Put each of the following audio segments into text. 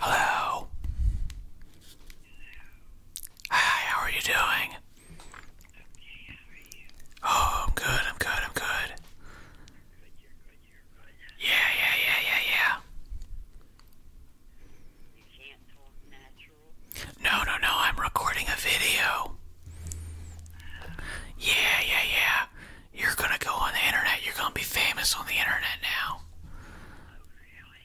Hello. Hi, how are you doing? Oh, I'm good, I'm good, I'm good. Yeah, yeah, yeah, yeah, yeah. No, no, no, I'm recording a video. Yeah, yeah, yeah. You're gonna go on the internet. You're gonna be famous on the internet now.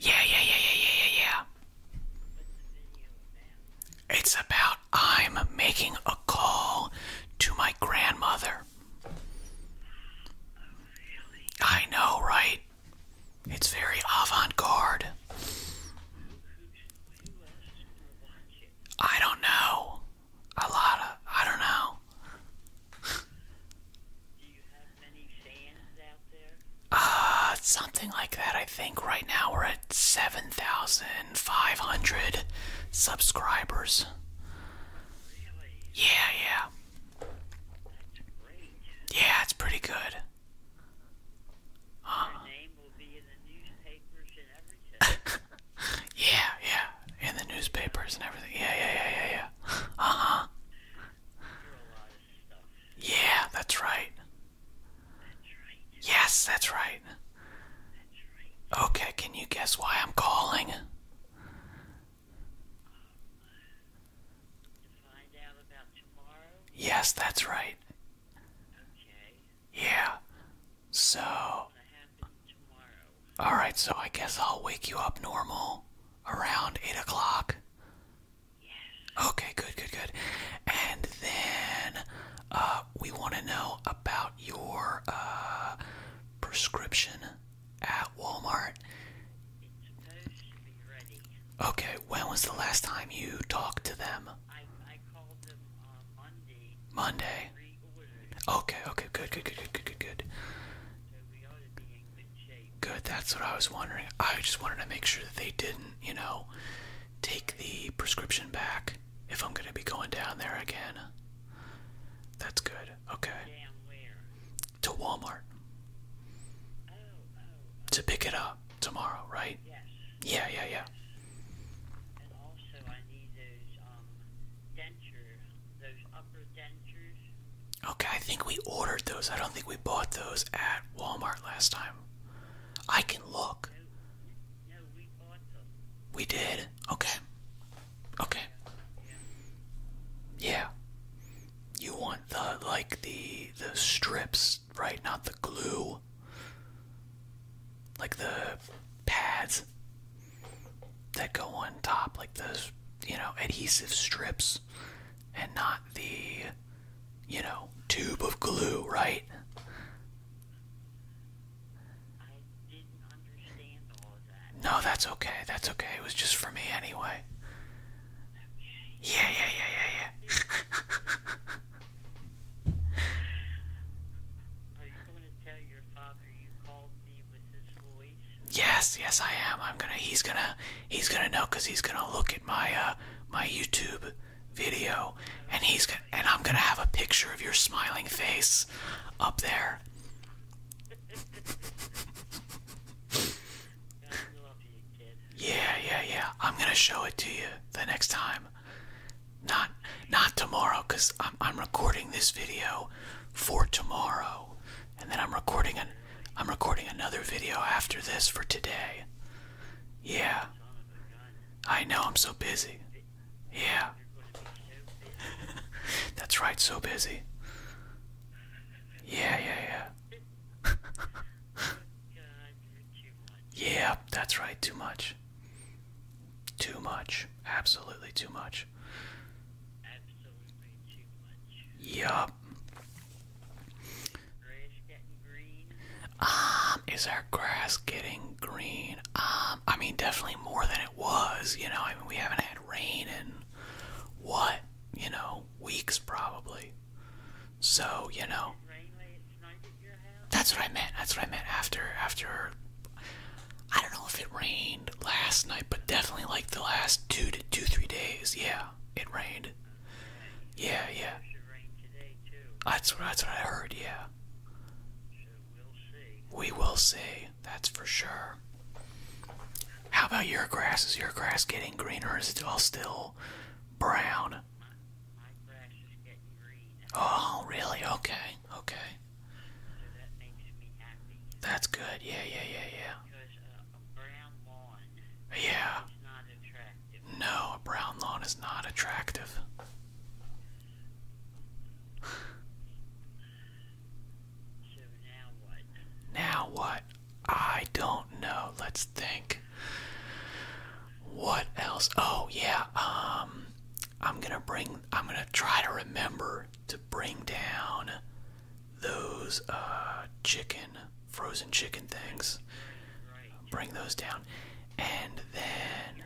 Yeah, yeah, yeah, yeah, yeah, yeah, yeah. It's about I'm making a call to my grandmother. I know, right? It's very avant garde. I don't know. A lot of, I don't know. Do uh, something like that. I think right now we're at 7,500 subscribers. Yeah, yeah. That's Yeah, it's pretty good. Uh-huh. yeah, yeah yeah, in the newspapers and everything. Yeah, yeah, yeah, yeah, yeah. Uh huh. Yeah, that's right. Yes, that's right. Okay, can you guess why I'm calling? Yes, that's right. Yeah. So. Alright, so I guess I'll wake you up normal around 8 o'clock. Yes. Okay, good, good, good. And then uh, we want to know about your uh, prescription at Walmart. It's supposed to be ready. Okay, when was the last time you talked to them? I, called on uh, Monday. Monday. Okay, okay, good, good, good, good, good, good, good. Good, that's what I was wondering. I just wanted to make sure that they didn't, you know, take the prescription back if I'm going to be going down there again. That's good, okay. To Walmart. To pick it up tomorrow, right? Yes. Yeah, yeah, yeah those upper dentures. Okay, I think we ordered those. I don't think we bought those at Walmart last time. I can look. we did? Okay. Okay. Yeah. yeah. You want the like the the strips, right? Not the glue. Like the pads that go on top, like those, you know, adhesive strips, and not the, you know, tube of glue, right? No, that's okay. That's okay. It was just for me anyway. Okay. Yeah, yeah, yeah, yeah, yeah. Yes, yes, I am. I'm gonna. He's gonna. He's gonna know because he's gonna look at my uh my YouTube video, and he's gonna. And I'm gonna have a picture of your smiling face up there. yeah, yeah, yeah. I'm gonna show it to you the next time. Not, not tomorrow, cause I'm I'm recording this video for tomorrow and then I'm recording an I'm recording another video after this for today. Yeah. I know I'm so busy. Yeah. That's right, so busy. Yeah, yeah, yeah. yeah, that's right, too much. Too much. Absolutely too much much. Yup. Um, is our grass getting green? Um, I mean, definitely more than it was. You know, I mean, we haven't had rain in what? You know, weeks probably. So you know. That's what I meant. That's what I meant. After after I don't know if it rained last night, but definitely like the last two to two three days. Yeah, it rained. Yeah, yeah. That's what, I heard. Yeah. We will see. That's for sure. How about your grass? Is your grass getting greener? is it all still brown? Oh, really? Okay okay. That's good. Yeah, yeah, yeah, yeah. yeah. No, a brown lawn is not attractive. now what? Now what? I don't know. Let's think. What else? Oh yeah, um I'm gonna bring I'm gonna try to remember to bring down those uh, chicken, frozen chicken things. Bring those down. And then.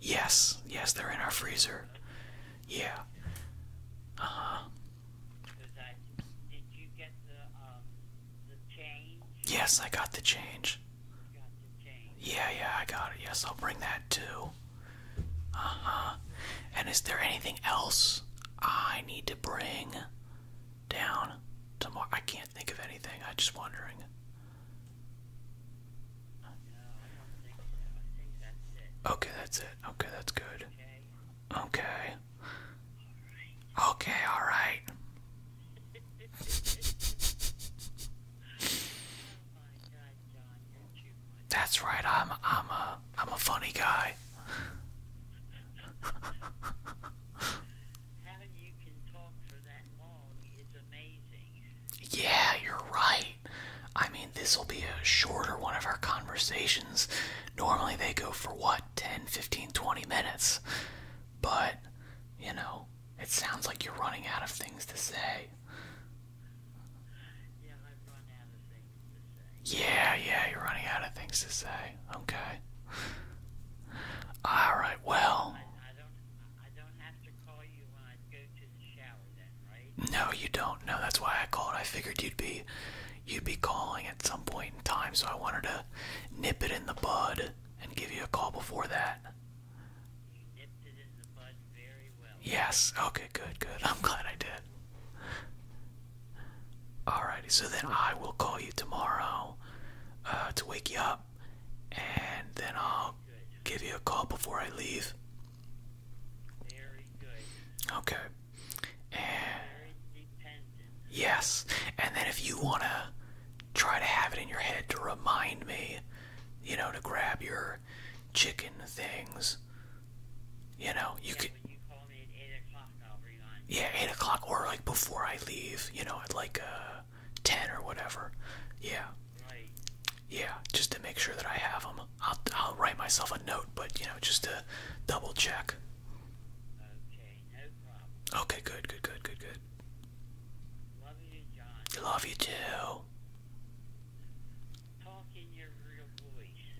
Yes, yes, they're in our freezer. Yeah. Uh huh. Yes, I got the change. Yeah, yeah, I got it. Yes, I'll bring that too. Uh-huh. And is there anything else I need to bring down tomorrow? I can't think of anything. I'm just wondering. Okay, that's it. Okay, that's good. Okay. Okay, all right. That's right. I'm I'm a I'm a funny guy. Yeah, you're right. I mean, this will be a shorter one of our conversations. Normally they go for what, 10, 15, 20 minutes. But, you know, it sounds like you're running out of things to say. Yeah, yeah, you're running out of things to say. Okay. All right. Well. No, you don't. No, that's why I called. I figured you'd be, you'd be calling at some point in time, so I wanted to nip it in the bud and give you a call before that. Yes. Okay, good, good. I'm glad I did. Alrighty, so then I will call you tomorrow uh, to wake you up, and then I'll give you a call before I leave. Very good. Okay. Very yes, and then if you wanna try to have it in your head to remind me, you know, to grab your chicken things. You know, you can, call me at 8 yeah, eight o'clock, or like before I leave. You know, at like uh, ten or whatever. Yeah. Yeah, just to make sure that I have them. I'll I'll write myself a note, but you know, just to double check. Okay, no problem. Okay, good, good, good, good, good. Love you, John. Love you too.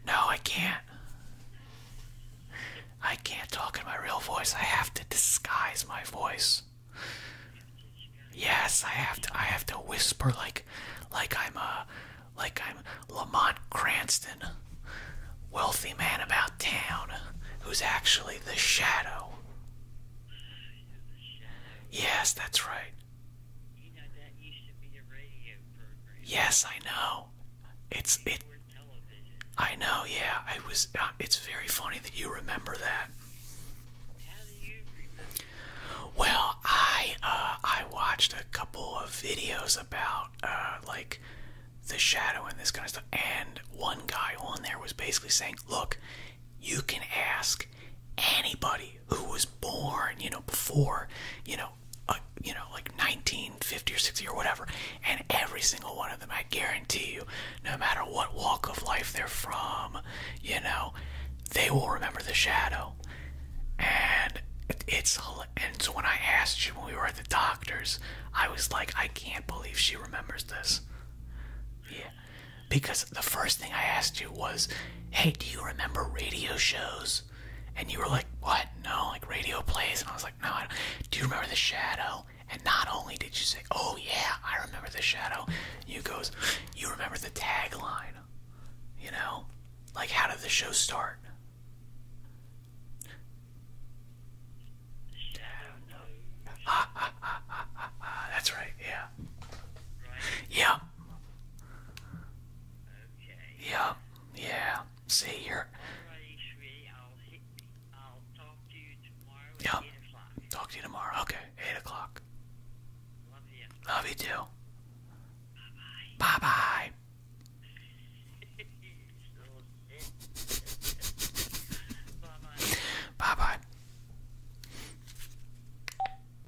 No, I can't. I can't talk in my real voice. I have to disguise my voice. Yes, I have to. I have to whisper like, like I'm a, like I'm Lamont Cranston, wealthy man about town, who's actually the shadow. Yes, that's right. Yes, I know. It's it. I know. Yeah, I was. Uh, it's very funny that you remember that. Well, I uh, I watched a couple of videos about uh, like the shadow and this kind of stuff, and one guy on there was basically saying, "Look, you can ask." Anybody who was born, you know, before, you know, uh, you know, like 1950 or 60 or whatever, and every single one of them, I guarantee you, no matter what walk of life they're from, you know, they will remember the shadow. And it's all. and so when I asked you when we were at the doctor's, I was like, I can't believe she remembers this. Yeah, because the first thing I asked you was, "Hey, do you remember radio shows?" And you were like, "What? No, like radio plays." And I was like, "No, do you remember The Shadow?" And not only did you say, "Oh yeah, I remember The Shadow," you goes, "You remember the tagline?" You know, like how did the show start? Ah, ah, ah, ah, ah, That's right. Yeah. Right. Yeah. Yeah, yeah. See, you tomorrow yeah. Talk to you tomorrow. Okay, 8 o'clock. Love you. Love you too. Bye bye. Bye bye. bye bye.